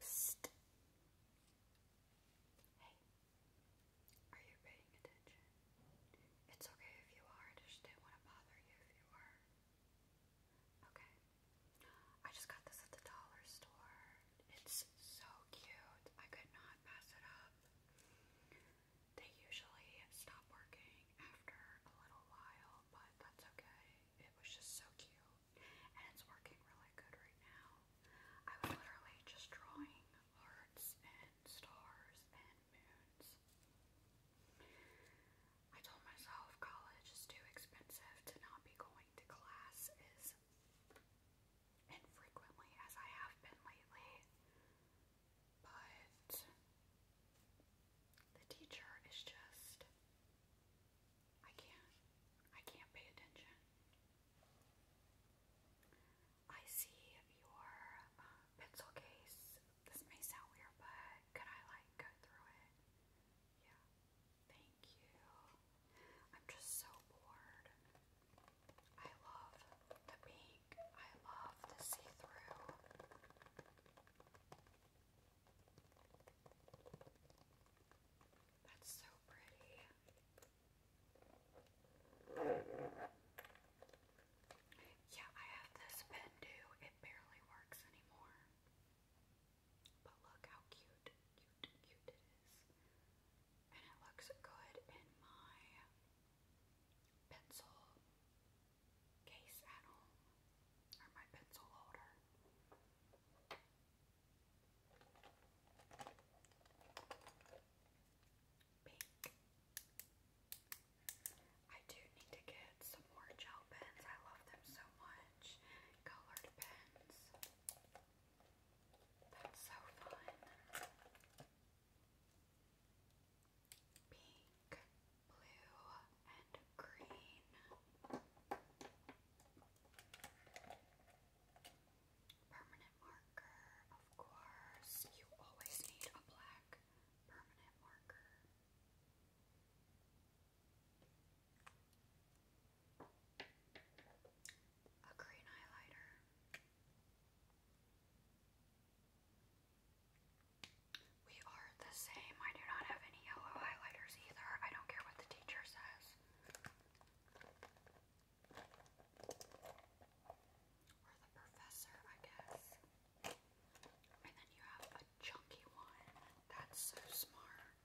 Psst. Hey, are you paying attention? It's okay if you are, I just didn't want to bother you if you were. Okay. I just got this at the dollar store. It's so cute. I could not pass it up. They usually stop working after a little while, but that's okay. It was just so cute. And it's working really good right now. I was literally just drawing hearts and stars and moons. I told myself college is too expensive to not be going to class as infrequently as I have been lately. But the teacher is just I can't I can't pay attention. I see your uh, pencil case this may sound weird, but could I like go through it? Yeah. Thank you. I'm just so bored. I love the pink. I love the see-through. That's so pretty. Yeah, I have this pen too. It barely works anymore. But look how cute, cute, cute it is. And it looks good in my pencil case at home, or my pencil holder. Pink. I do need to get some more gel pens. I love them so much. Colored pens. That's so fun. Pink, blue, and green. Permanent marker, of course. You always need a black permanent marker a green highlighter, we are the same. I do not have any yellow highlighters either. I don't care what the teacher says. Or the professor, I guess. And then you have a chunky one. That's so smart.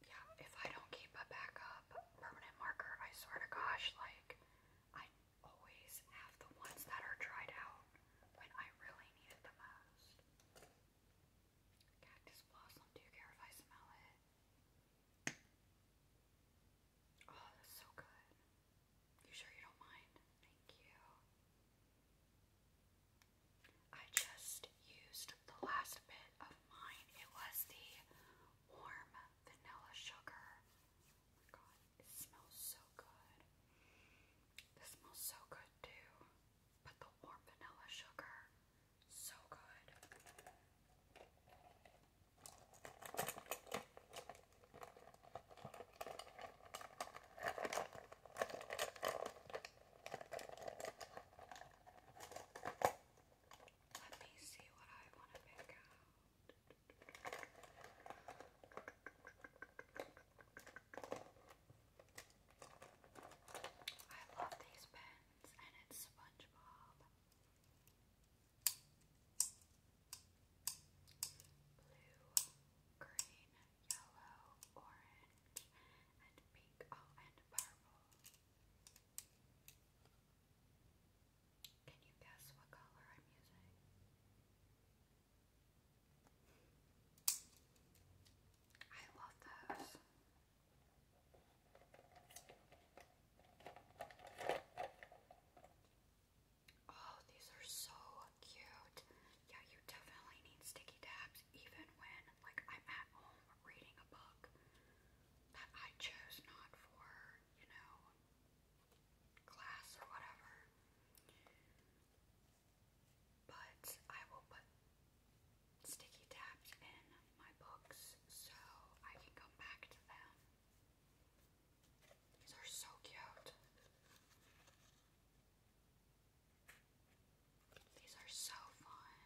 Yeah, if I don't keep a backup permanent marker, I swear to gosh, like, I always have the ones that are dried out when I really need it the most. Cactus blossom, do you care if I smell it? Oh, that's so good. You sure you don't mind? Thank you. I just used the last bit of mine. It was the warm vanilla sugar. Oh my god, it smells so good. This smells so good too. But the warm vanilla sugar so good. Let me see what I want to pick out. I love these pens and it's SpongeBob. Blue, green, yellow, orange, and pink. Oh, and purple. Can you guess what color I'm using? I love those. Oh, these are so cute. Yeah, you definitely need sticky tabs even when like I'm at home reading a book that I chose not for, you know, class or whatever. But I will put sticky taped in my books so I can come back to them. These are so cute. These are so fun.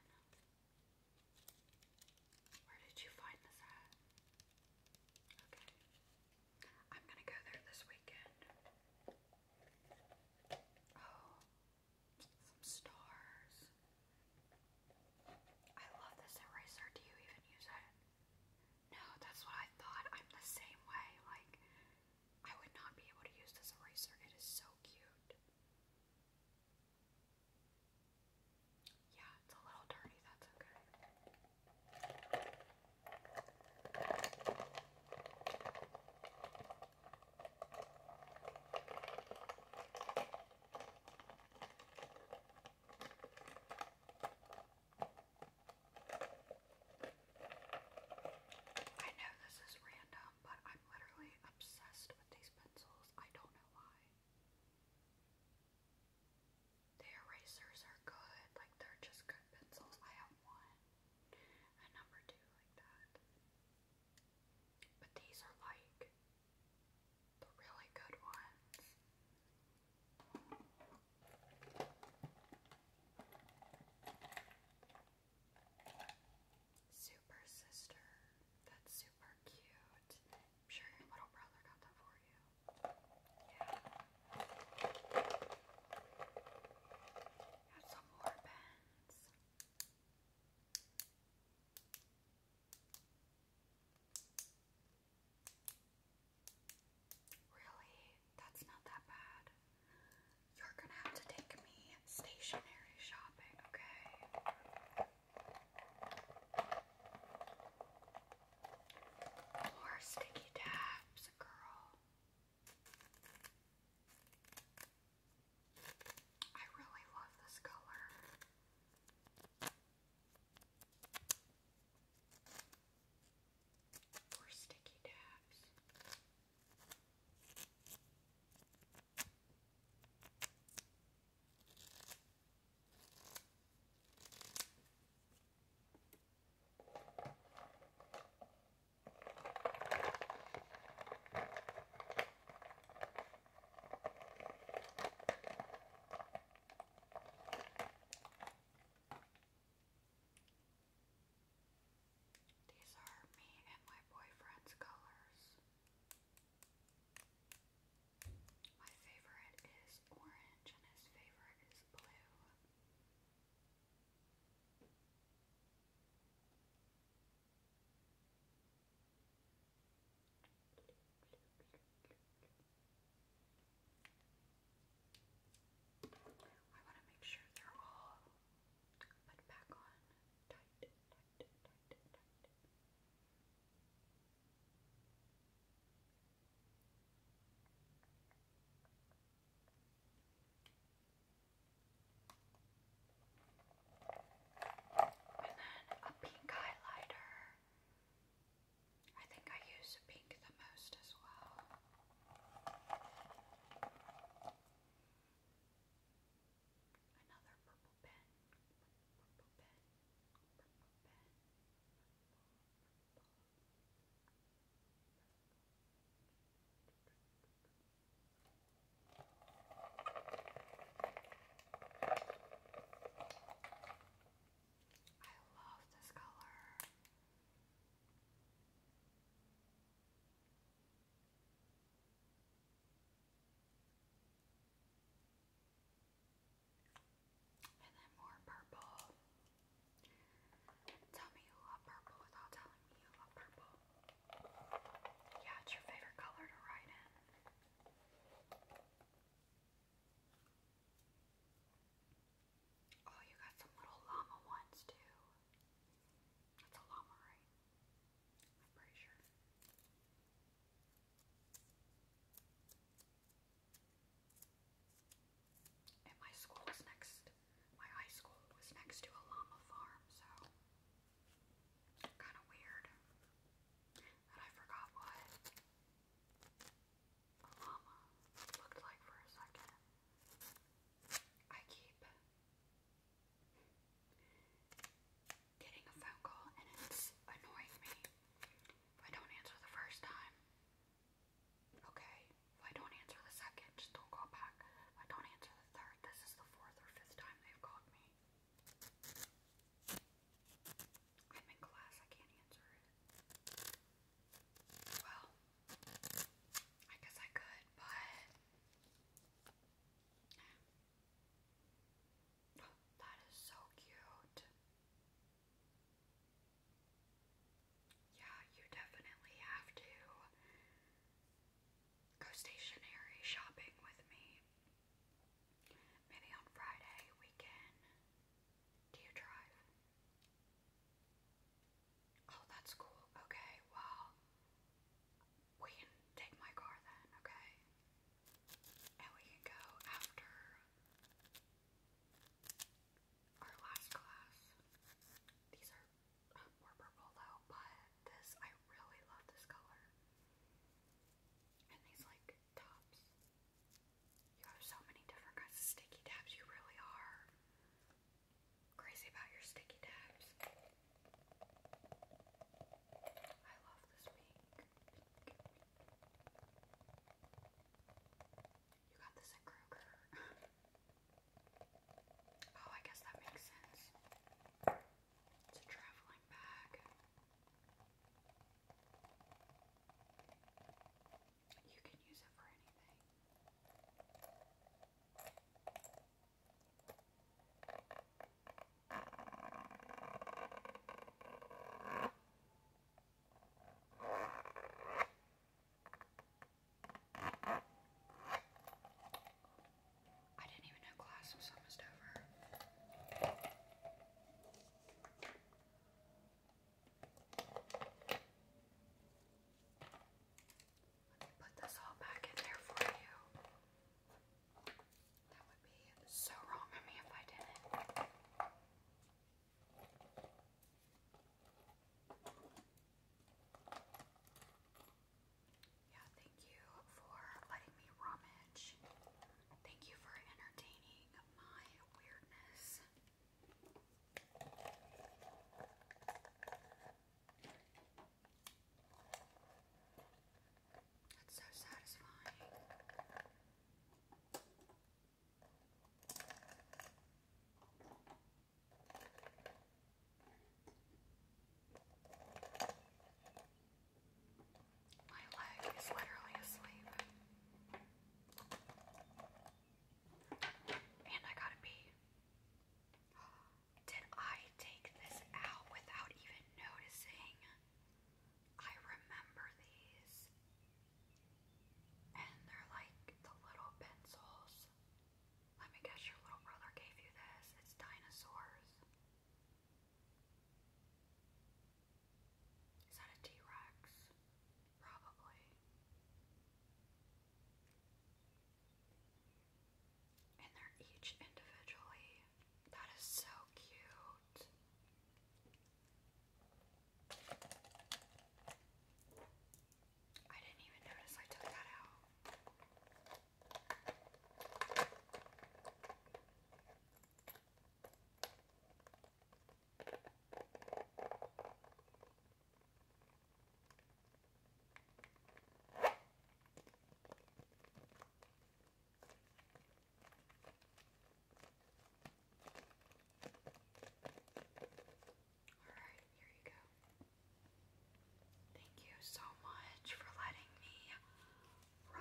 Where did you find this at? Okay. I'm gonna go there this weekend. Oh, some stars. I love this eraser. Do you even use it? No, that's what I thought. I'm the same way. Like, I would not be able to use this eraser. It is so cute. Yeah, it's a little dirty. That's okay. I know this is random, but I'm literally obsessed with these pencils. I don't know why. The erasers are good, like they're just good pencils. I have one, and number two, like that. But these are like the really good ones. Super sister. That's super cute. I'm sure your little brother got that for you. Yeah. Got some more pens. Really? That's not that bad. You're gonna have to take me stationary shopping, okay? More sticky tabs, girl. I really love this color. Or sticky dabs. These are me and my boyfriend's colors. My favorite is orange and his favorite is blue. I want to make sure they're all put back on tight, tight, tight, tight. Okay. And then a pink highlighter. I think I use pink the most as well. Another purple pen. I love this color. And then more purple. Tell me you love purple without telling me you love purple. Yeah, it's your favorite color to write in. Oh, you got some little llama ones too. That's a llama, right? I'm pretty sure. And my school was next, my high school was next to a llama farm, so Kind of weird. And I forgot what a looked like for a second. I keep getting a phone call and it's annoying me. If I don't answer the first time, okay. If I don't answer the second, just don't call back. If I don't answer the third, this is the fourth or fifth time they've called me. I'm in class, I can't answer it. Well, I guess I could, but. Oh, that is so cute. Yeah, you definitely have to go stationary shopping with me. Maybe on Friday we can. Do you drive? Oh, that's cool. Okay, well, we can take my car then, okay? And we can go after our last class. These are um, more purple though, but this, I really love this color. And these, like, you have so many different kinds of sticky tabs. You really are crazy about your sticky tabs. I love this pink. You got this at Kroger. oh, I guess that makes sense. It's a traveling bag. You can use it for anything. I didn't even know class almost over put this all back in there for you. That would be so wrong of me if I didn't. Yeah, thank you for letting me rum it. Thank you for entertaining my weirdness. That's so satisfying. My leg is literally asleep. And I gotta pee. Did I take this out without even noticing? I remember these. And they're like the little pencils. Let me guess your little brother gave you this. It's dinosaurs. Is that a T-Rex? Probably. And they're each individually. That is so cute. I didn't even notice I took that out. Alright, here you go.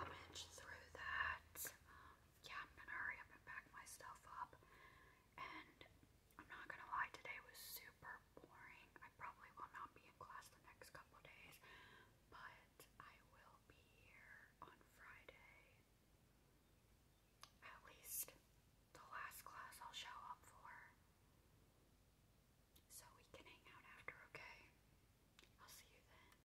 Thank you so much for letting me rummage through that. Um, yeah, I'm gonna hurry up and pack my stuff up. And I'm not gonna lie, today was super boring. I probably will not be in class the next couple days, but I will be here on Friday. At least the last class I'll show up for. So we can hang out after, okay? I'll see you then.